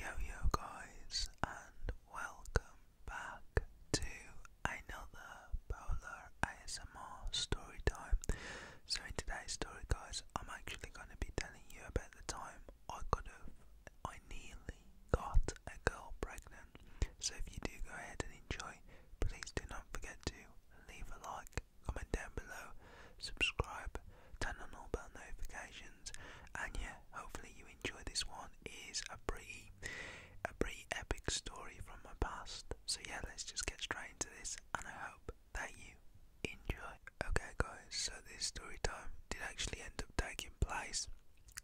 Yo yo guys and welcome back to another Polar ASMR story time. So in today's story guys I'm actually gonna be telling you about the time I could have I nearly got a girl pregnant. So if you do go ahead and enjoy, please do not forget to leave a like, comment down below, subscribe, turn on all bell notifications and yeah, hopefully you enjoy this one. is a pretty, a pretty epic story from my past. So yeah, let's just get straight into this, and I hope that you enjoy. Okay, guys. So this story time did actually end up taking place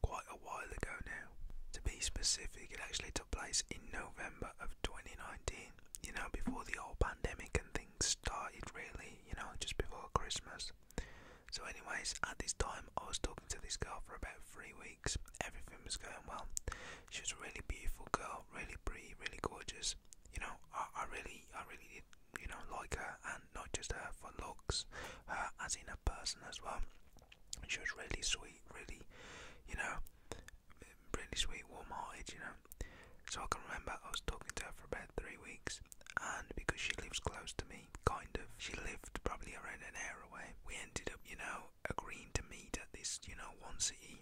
quite a while ago now. To be specific, it actually took place in November of 2019. You know, before the whole pandemic and things started, really. You know, just before Christmas so, anyways, at this time, I was talking to this girl for about three weeks. Everything was going well. She was a really beautiful girl, really pretty, really gorgeous. You know, I, I really, I really did, you know, like her, and not just her for looks, her as in a person as well. She was really sweet, really, you know, really sweet, warm-hearted, you know. So I can remember I was talking to her for about three weeks, and because she lives close to me me, kind of. She lived probably around an hour away. We ended up, you know, agreeing to meet at this, you know, one city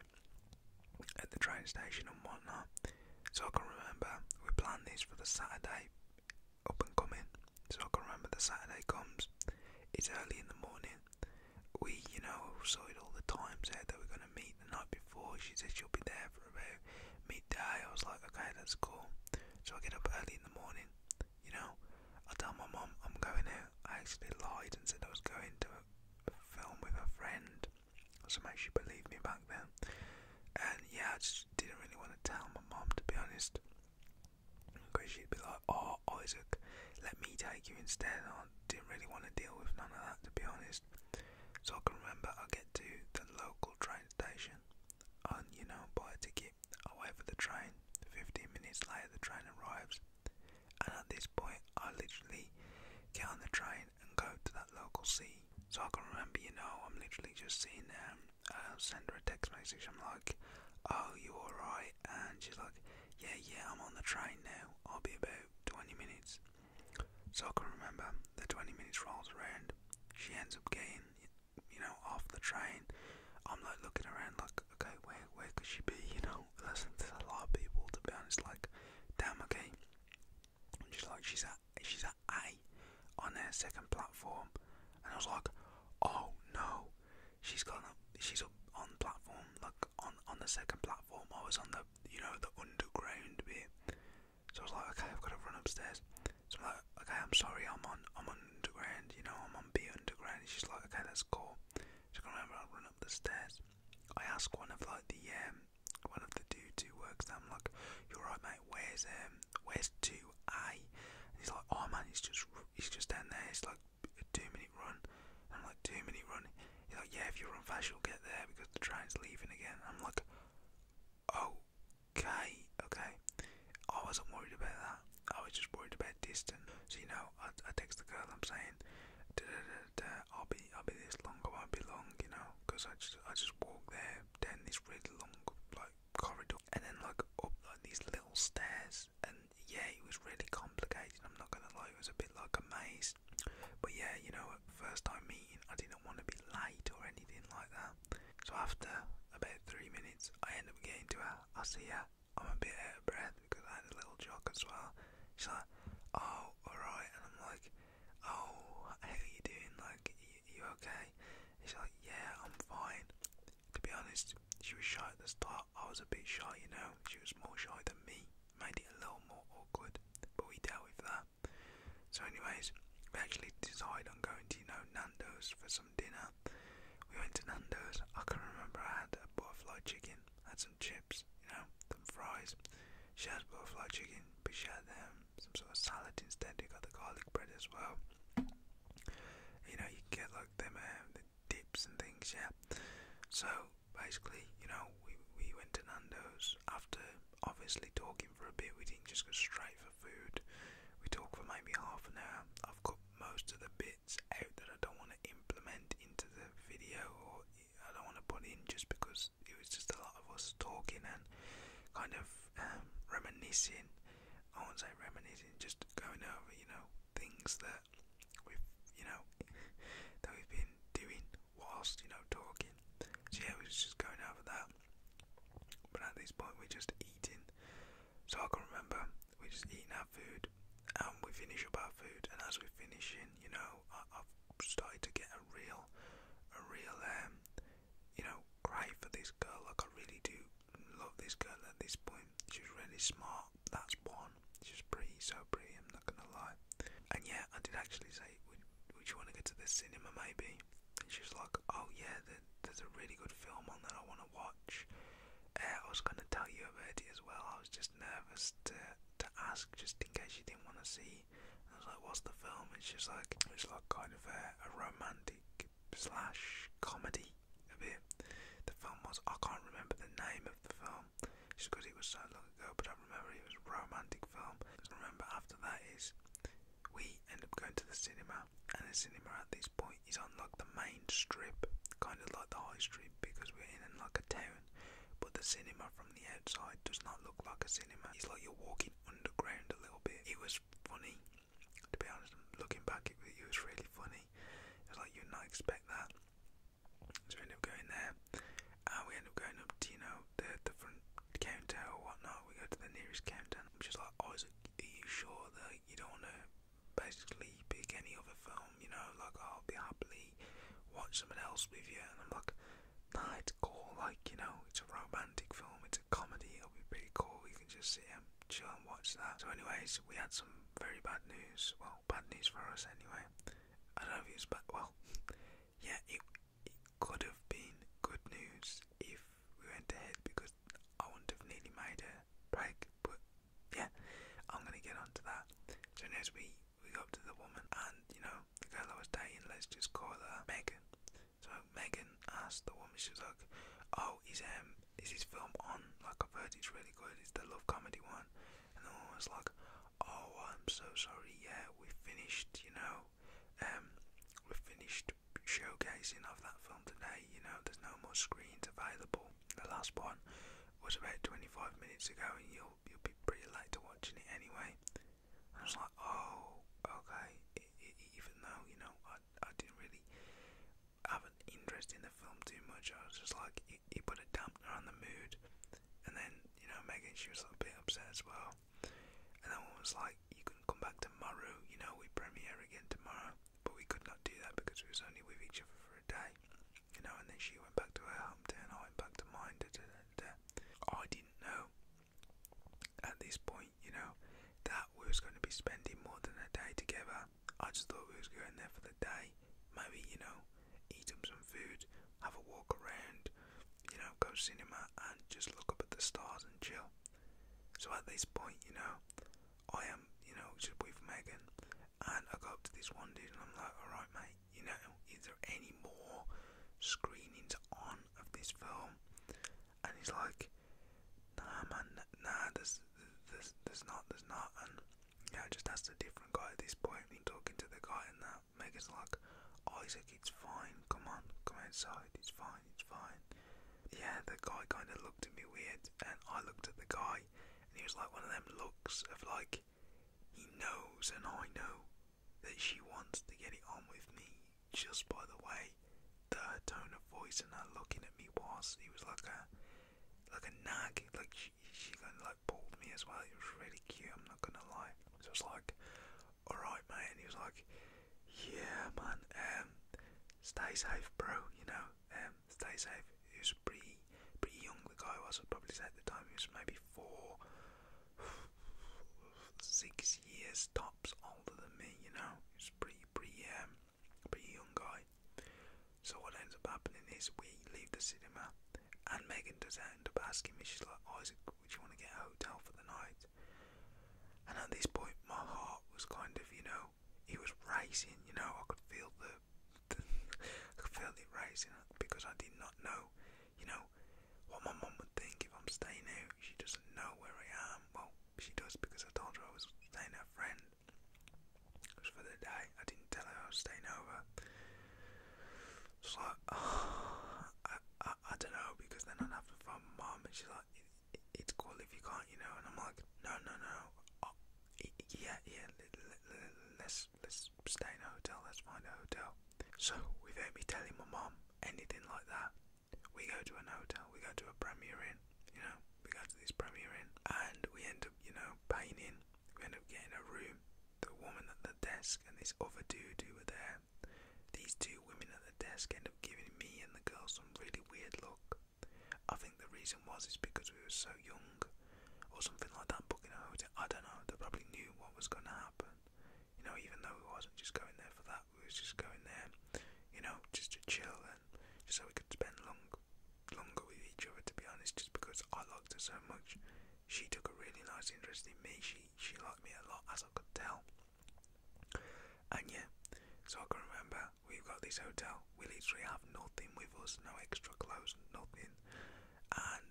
at the train station and whatnot. So I can remember we planned this for the Saturday up and coming. So I can remember the Saturday comes. It's early in the morning. We, you know, sorted all the times out that we're going to meet the night before. She said she'll be there for about midday. I was like, okay, that's cool. So I get up early in the morning, you know. I tell my mum I'm going out. I actually lied and said I was going to a film with a friend. So make she believed me back then. And yeah, I just didn't really want to tell my mum to be honest. Because she'd be like, oh, Isaac, let me take you instead. I didn't really want to deal with none of that to be honest. So I can remember I get to the local train station on, you know, buy a ticket. I wait for the train. 15 minutes later, the train arrives. And at this point, I literally get on the train and go to that local sea. So I can remember, you know, I'm literally just seeing um, uh, send her a text message. I'm like, oh, you alright? And she's like, yeah, yeah, I'm on the train now. I'll be about 20 minutes. So I can remember the 20 minutes rolls around. She ends up getting you know, off the train, I'm like looking around like, okay, where where could she be? You know, listen, there's a lot of people to be honest. Like, damn, okay, and she's like, she's at she's at A on their second platform, and I was like, oh no, she's gone up, she's up on platform like on on the second platform. I was on the you know the underground bit, so I was like, okay, I've got to run upstairs. So I'm like, okay, I'm sorry, I'm on, I'm on underground, you know, I'm on B underground. she's like, okay, that's cool. She's gonna remember I'll run up the stairs. I ask one of like the um, one of the dudes who works there. I'm like, you're right, mate. Where's um, where's two A? And he's like, oh man, he's just, he's just down there. It's like a two minute run. I'm like, two minute run. He's like, yeah, if you run fast, you'll get there because the train's leaving again. I'm like, oh, okay, okay. I wasn't worried about that. I was just worried about distance. So you know, I, I text the girl. I'm saying, I'll be, I'll be this long. I won't be long, you know, because I just, I just walk there down this really long like corridor, and then like up like these little stairs. And yeah, it was really complicated. I'm not gonna lie, it was a bit like a maze. But yeah, you know, first time meeting, I didn't want to be late or anything like that. So after about three minutes, I end up getting to her. I see her. I'm a bit out of breath because I had a little jock as well. She's like, "Oh, alright," and I'm like, "Oh, how are you doing? Like, you, you okay?" she's like, "Yeah, I'm fine." To be honest, she was shy at the start. I was a bit shy, you know. She was more shy than me. Made it a little more awkward, but we dealt with that. So, anyways, we actually decided on going to, you know, Nando's for some dinner. We went to Nando's. I can remember I had a butterfly chicken, had some chips, you know, some fries. She had butterfly chicken, but she had um, some sort of salad instead. You got the garlic bread as well. You know, you get like them um, the dips and things, yeah. So basically, you know, we we went to Nando's after obviously talking for a bit. We didn't just go straight for food. We talk for maybe half an hour. I've got most of the bits out that I don't want to implement into the video or I don't want to put in just because it was just a lot of us talking and kind of um, reminiscing. I won't say reminiscing, just going over, you know, things that we've, you know, that we've been doing whilst, you know, talking. So yeah, we was just going over that. But at this point, we're just eating so I can remember we just eating our food and we finish up our food and as we're finishing, you know, I, have started to get a real, a real, um, you know, cry for this girl. Like I really do love this girl at this point. She's really smart. That's one. She's pretty, so pretty. I'm not gonna lie. And yeah, I did actually say, would you want to go to the cinema maybe? and she was like, "Oh yeah, there, there's a really good film on that I want to watch." Uh, I was gonna tell you about it as well. I was just nervous to to ask, just in case you didn't want to see. And I was like, "What's the film?" And she's like, "It's like kind of a, a romantic slash comedy a bit." The film was I can't remember the name of the film, just because it was so long ago. But I remember it was a romantic film. I remember after that is we end up going to the cinema, and the cinema at this point is on like the main strip, kind of like the high street because we're in like a town. But the cinema from the outside does not look like a cinema. It's like you're walking underground a little bit. It was funny, to be honest. Looking back, it, it was really funny. It's like you'd not expect that. So we end up going there, and we end up going up to you know the the front counter or whatnot. We go to the nearest counter. which is just like, I was like, are you sure that you don't want to basically pick any other film? You know, like, I'll be happily watch something else with you. And I'm like, nah, it's cool. Like, you know, it's a romantic film, it's a comedy, it'll be pretty cool. You can just sit and chill and watch that. So, anyways, we had some very bad news. Well, bad news for us anyway. I don't know if it was bad. Well, yeah, it, it could have been good news if we went ahead because I wouldn't have nearly made a break. But yeah, I'm gonna get onto that. So next we we go up to the woman and you know the girl I was dating. Let's just call her Megan. So Megan asked the woman, she's like, "Oh, is um is his film on? Like I've heard it's really good. It's the love comedy one." And the woman was like, "Oh, I'm so sorry. Yeah, we finished. You know, um, we finished showcasing of that film today. You know, there's no more screens available. The last one was about 25 minutes ago, and you'll you'll be pretty late to watching it anyway. I was like, oh, okay. even though you know I I didn't really have an interest in the film too much, I was just like, it, put a dampener on the mood. And then you know Megan, she was a bit upset as well. And then one was like, you can come back tomorrow. You know we premiere again tomorrow but we could not do that because we was only with each other for a day, you know. And then she went back to her hometown, I went back to mine. Da, da, da, da. I didn't know at this point, you know, that we was going to be spending more than a day together. I just thought we was going there for the day, maybe you know, eat them some food, have a walk around, you know, go cinema and just look up at the stars and chill. So at this point, you know, I am, you know, just with Megan. And I go up to this one dude and I'm like, alright, mate, you know, is there any more screenings on of this film? And he's like, nah, man, nah, there's, there's, there's not, there's not. And yeah, I just asked a different guy at this point. And talking to the guy and that. Megan's like, Isaac, it's fine, come on, come outside, it's fine fine, it's fine. Yeah, the guy kind of looked at me weird, and I looked at the guy, and he was like one of them looks of like, he knows and I know that she wants to get it on with me just by the way that her tone of voice and her looking at me was. He was like a like a nag, like she, she kind of like pulled me as well. It was really cute, I'm not gonna lie. So I was like, alright, mate. And he was like, yeah, man. Um, stay safe, bro. You know, um, stay safe. He was pretty, pretty young. The guy was. probably at the time he was maybe four, six years tops older than me. You know, he was pretty, pretty, um, pretty young guy. So what ends up happening is we leave the cinema, and Megan does end up asking me. She's like, Isaac, would you want to get a hotel for the night? And at this point, my heart was kind of, you know, it was rising. You know, I could feel the, I could feel it rising because I did not know. You know, what my mom would think if I'm staying out. She doesn't know where I am. Well, she does because I told her I was staying at a friend. It for the day. I didn't tell her I was staying over. So like, oh, I, I, don't know because then I'd have to find my and she's like, it's cool if you can't, you know. And I'm like, no, no, no. Oh, yeah, yeah. Let's let's stay in a hotel. Let's find a hotel. So without me telling my mom anything like that, we go to an hotel. We go to a Premier Inn. You know, we go to this Premier Inn, and we end up, you know, paying in. We end up getting a room. The woman at the desk and this other dude who were there. These two women at the desk end up giving me and the girl some really weird look. I think the reason was is because we were so young, or something like that. Booking a hotel, I don't know. They probably knew what was going to happen. You know, even though we wasn't just going there for that, we was just going there, you know, just to chill and just so we could spend long, longer with each other. To be honest, just because I liked her so much, she took a really nice interest in me. She she liked me a lot, as I could tell. And yeah, so I can remember We've got this hotel. We literally have nothing with us, no extra clothes, nothing. And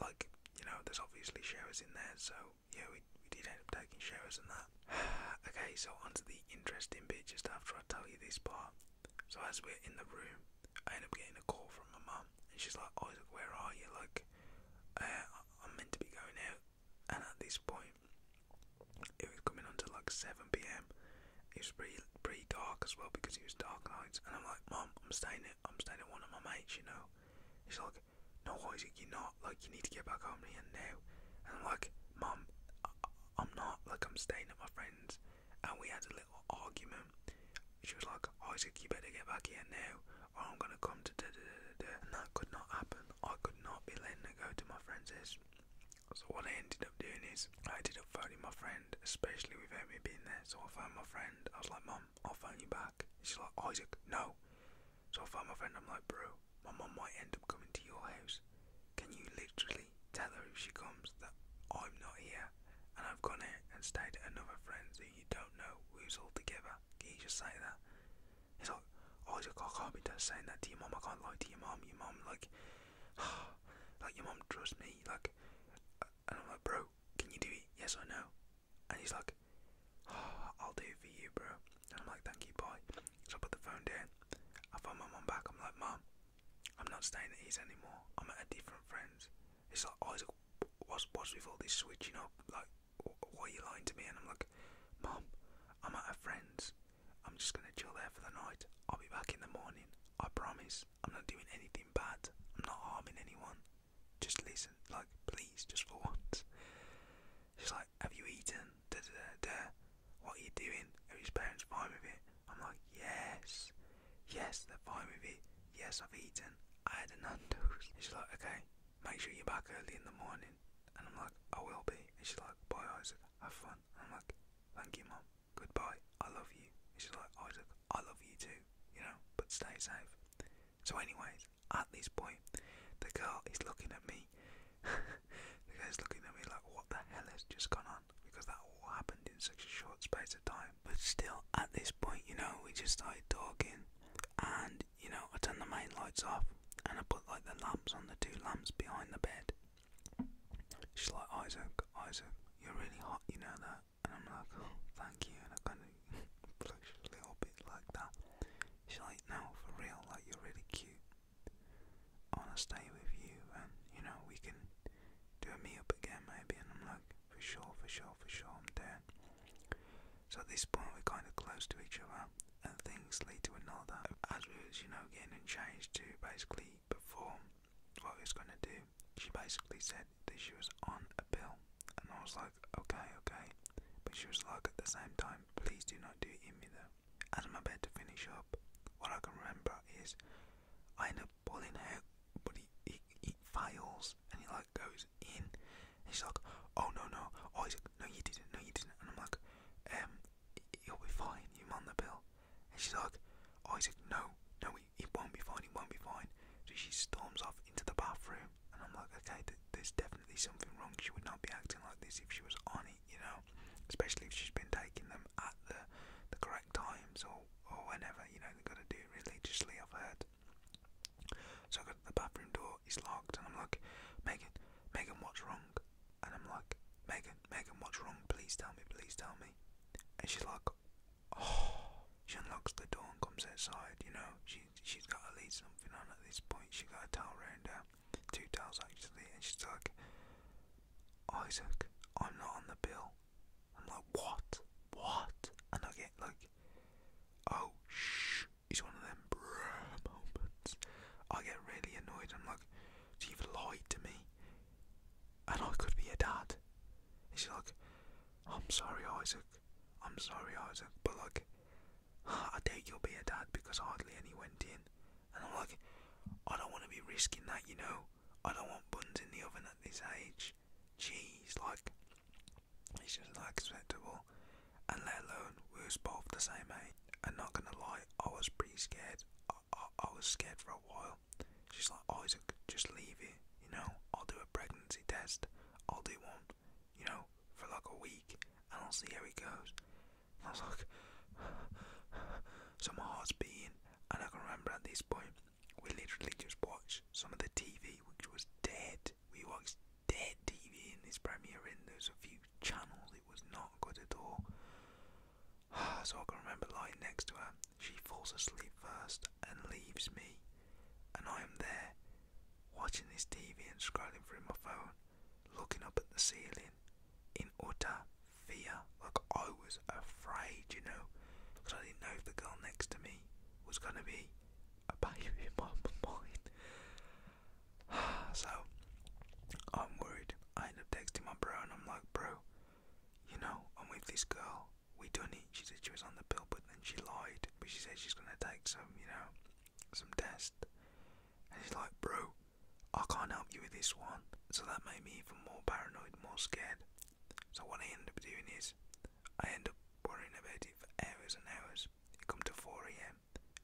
like you know, there's obviously showers in there, so yeah, we, we did end up taking showers and that. okay, so onto the interesting bit just after I tell you this part. So as we're in the room, I end up getting a call from my mum, and she's like, "Isaac, oh, where are you? Like, uh, I'm meant to be going out." And at this point, it was coming on to like 7 pm. It was pretty, pretty dark as well because it was dark nights. And I'm like, Mom, I'm staying at, I'm staying at one of my mates, you know. She's like, No, Isaac, you're not. Like, you need to get back home here now. And I'm like, Mom, I, am not. Like, I'm staying at my friend's. And we had a little argument. She was like, Isaac, you better get back here now, or I'm gonna come to da da da da. And that could not happen. I could not be letting her go to my friend's. So what I ended up doing is I ended up phoning my friend, especially without me being there. So I phoned my friend. I was like, "Mom, I'll phone you back." She's like, "Isaac, no." So I phoned my friend. I'm like, "Bro, my mom might end up coming to your house. Can you literally tell her if she comes that I'm not here and I've gone in and stayed at another friend's that you don't know who's all together? Can you just say that?" He's like, "Isaac, I can't be just saying that to your mom. I can't lie to your mom. Your mom like." like your mom trusts me, like, and I'm like, bro, can you do it? Yes or no? And he's like, I'll do it for you, bro. And I'm like, thank you, boy. So I put the phone down. I phone my mom back. I'm like, mom, I'm not staying at his anymore. I'm at a different friend's. It's like, oh, what's, what's with all this switching up? Like, why are you lying to me? And I'm like, mom, I'm at a friend's. I'm just gonna chill there for the night. I'll be back in the morning. I promise. I'm not doing anything bad. I'm not harming anyone. Just listen, like, please, just for once. She's like, Have you eaten? Da da da da. What are you doing? Are his parents fine with it? I'm like, Yes. Yes, they're fine with it. Yes, I've eaten. I had a Nando's. she's like, Okay, make sure you're back early in the morning. And I'm like, I will be. And she's like, Bye, Isaac. Have fun. I'm like, thank you, mum. Goodbye. I love you. she's like, Isaac, I love you too, you know, but stay safe. So, anyways, at this point, the girl is looking at me. the is looking at me like, what the hell has just gone on? Because that all happened in such a short space of time. But still, at this point, you know, we just started talking, and you know, I turned the main lights off and I put like the lamps on the two lamps behind the bed. She's like, Isaac, Isaac, you're really hot, you know that? And I'm like, oh, thank you. And I kind of blush a little bit like that. She's like, now for real, like, you're really cute. I want to stay with you, and, you know, we can do a meet-up again, maybe. And I'm like, for sure, for sure, for sure, I'm down. So at this point, we're kind of close to each other, and things lead to another. As we are you know, getting changed to basically before what he was going to do, she basically said that she was on a pill. And I was like, okay, okay. But she was like, at the same time, please do not do it in me though. As I'm about to finish up, what I can remember is I end up pulling her but he, fails and he like goes in. And she's like, oh no, no. Oh, no, you didn't, no, you didn't. And I'm like, um, you'll be fine, you're on the pill. And she's like, Isaac, oh, no, no, he, he won't be fine, he won't be fine. So she storms off into the bathroom, and I'm like, okay, there's definitely something wrong. She would not be acting like this if she was on it, you know, especially if she's been taking them at the the correct times or or whenever, you know, they've got to do religiously. I've heard. So I go to the bathroom door, it's locked, and I'm like, Megan, Megan, what's wrong? and I'm like, Megan, Megan, what's wrong? Please tell me, please tell me. And she's like, oh. She unlocks the door and comes outside, you know. She, she's got to lead something on at this point. She got a towel round her, two towels actually, and she's like, Isaac, I'm not on the bill. I'm like, what? What? And I get like, oh, shh. It's one of them bruh moments. I get really annoyed. I'm like, you've lied to me and I could be a dad. And she's like, I'm sorry, Isaac. I'm sorry, Isaac. But like, I doubt you'll be a dad because hardly any went in. And I'm like, I don't want to be risking that, you know. I don't want buns in the oven at this age. Jeez, like, it's just not acceptable. And let alone, we are both the same age. And not gonna lie, I was pretty scared. I, I was scared for a while. She's like, oh, Isaac, just leave it, you know. I'll do a pregnancy test. I'll do one, you know, for like a week, and I'll see how it goes. And I was like, so my heart's beating, and I can remember at this point, we literally just watched some of the TV, which was dead. We watched dead TV in this premiere, and there's a few channels. It was not good at all. So I can remember lying next to her. She falls asleep first and leaves me, and I am there, watching this TV and scrolling through my phone, looking up at the ceiling in utter fear. Like I was afraid, you know, because I didn't know if the girl next to me was going to be a baby in So I'm worried. I end up texting my bro, and I'm like, bro. You know, I'm with this girl. We done it. She said she was on the pill, but then she lied. But she said she's gonna take some, you know, some test. And he's like, bro, I can't help you with this one. So that made me even more paranoid, more scared. So what I end up doing is, I end up worrying about it for hours and hours. It come to 4 a.m.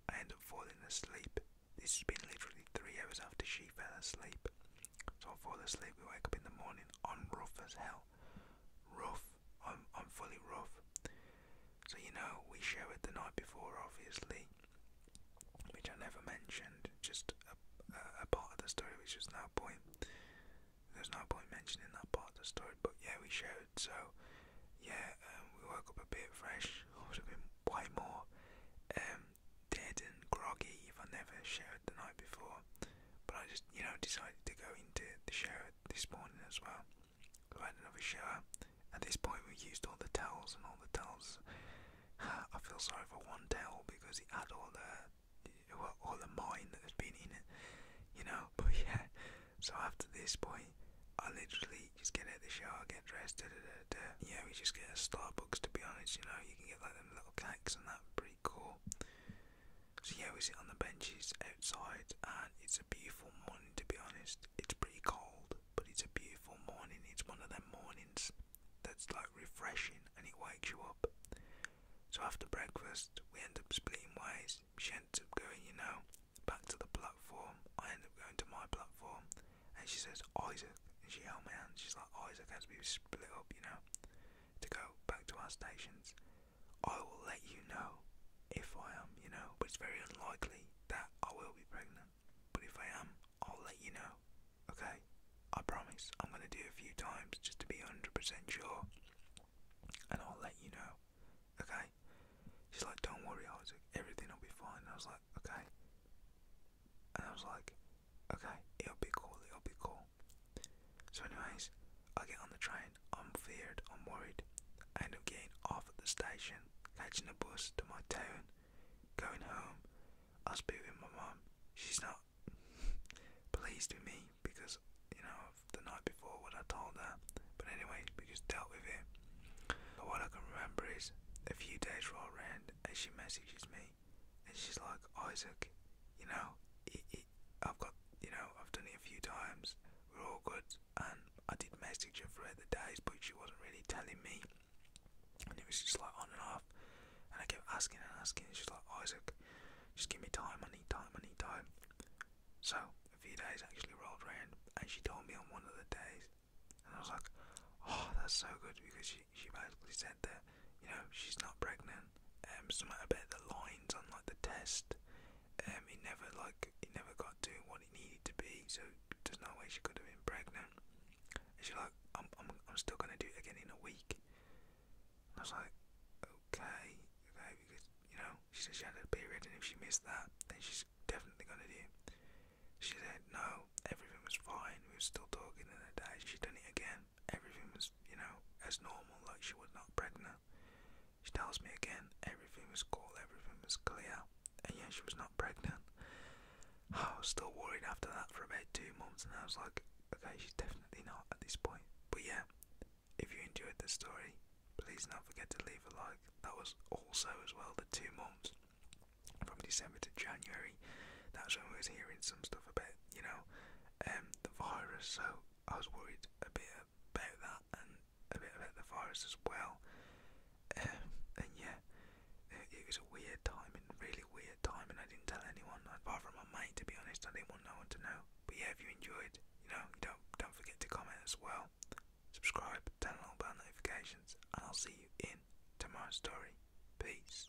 I end up falling asleep. This has been literally three hours after she fell asleep. So I fall asleep, we wake up in the morning. on rough as hell. Rough. I'm I'm fully rough. So you know, we showered the night before, obviously, which I never mentioned. Just a, a, part of the story, which was no point. There's no point mentioning that part of the story. But yeah, we showered. So yeah, um, we woke up a bit fresh. I would have been way more. Um, dead and groggy if I never showered the night before. But I just, you know, decided to go into the shower this morning as well. I had another shower. At this point, we used all the towels and all the towels. I feel sorry for one towel because it had all the, all the mine that had been in it, you know. But yeah, so after this point, I literally just get out the shower, get dressed, da da and uh, yeah, we just get a Starbucks to be honest. You know, you can get like them little cakes and that, pretty cool. So yeah, we sit on the benches outside, and it's a beautiful morning to be honest. It's pretty cold, but it's a beautiful morning. It's one of them mornings that's like refreshing and it wakes you up. So after breakfast, we end up splitting ways. She ends up going, you know, back to the platform. I end up going to my platform, and she says, "I oh, she held oh, my hand. She's like, oh, it's okay as we split up, you know, to go back to our stations. I will let you know if I am, you know, but it's very unlikely that I will be pregnant. But if I am, I'll let you know, okay? I promise. I'm going to do a few times just to be 100% sure. And I'll let you know, okay? She's like, don't worry, Isaac. Everything will be fine. I was like, okay and I was like, okay, it'll be cool, it'll be cool. So, anyways, I get on the train, I'm feared, I'm worried. I end up getting off at the station, catching a bus to my town, going home. I speak with my mom. she's not pleased with me because, you know, the night before what I told her. But, anyway, we just dealt with it. But what I can remember is a few days roll around and she messages me and she's like, Isaac, you know, I've got, you know, I've done it a few times. We're all good, and I did message her throughout the days, but she wasn't really telling me, and it was just like on and off. And I kept asking and asking, and she's like, Isaac, just give me time. I need time. I need time. So a few days actually rolled around, and she told me on one of the days, and I was like, oh, that's so good because she she basically said that you know she's not pregnant. Um, something about the lines on like the test. Um, it never like it never got to what it needed to be. So there's no way she could have been pregnant. And she's like, I'm I'm I'm still gonna do it again in a week. I was like, okay, okay, because you know she said she had a period, and if she missed that, then she's definitely gonna do. It. She said no, everything was fine. We were still talking in the day. She done it again everything was, you know, as normal, like she was not pregnant. She tells me again, everything was cool, everything was clear, and yeah, she was not pregnant. I was still worried after that for about two months, and I was like, okay, she's definitely not at this point. But yeah, if you enjoyed this story, please don't forget to leave a like. That was also, as well, the two months from December to January that's when I was hearing some stuff about, you know, um, the virus. So I was worried a bit about that and a bit about the virus as well. Um, and yeah, it, was a weird time and really weird time, and I didn't tell anyone, i apart from my mate. To be honest, I didn't want no one to know. But yeah, if you enjoyed, you know, don't don't forget to comment as well, subscribe, turn on bell notifications, and I'll see you in tomorrow's story. Peace.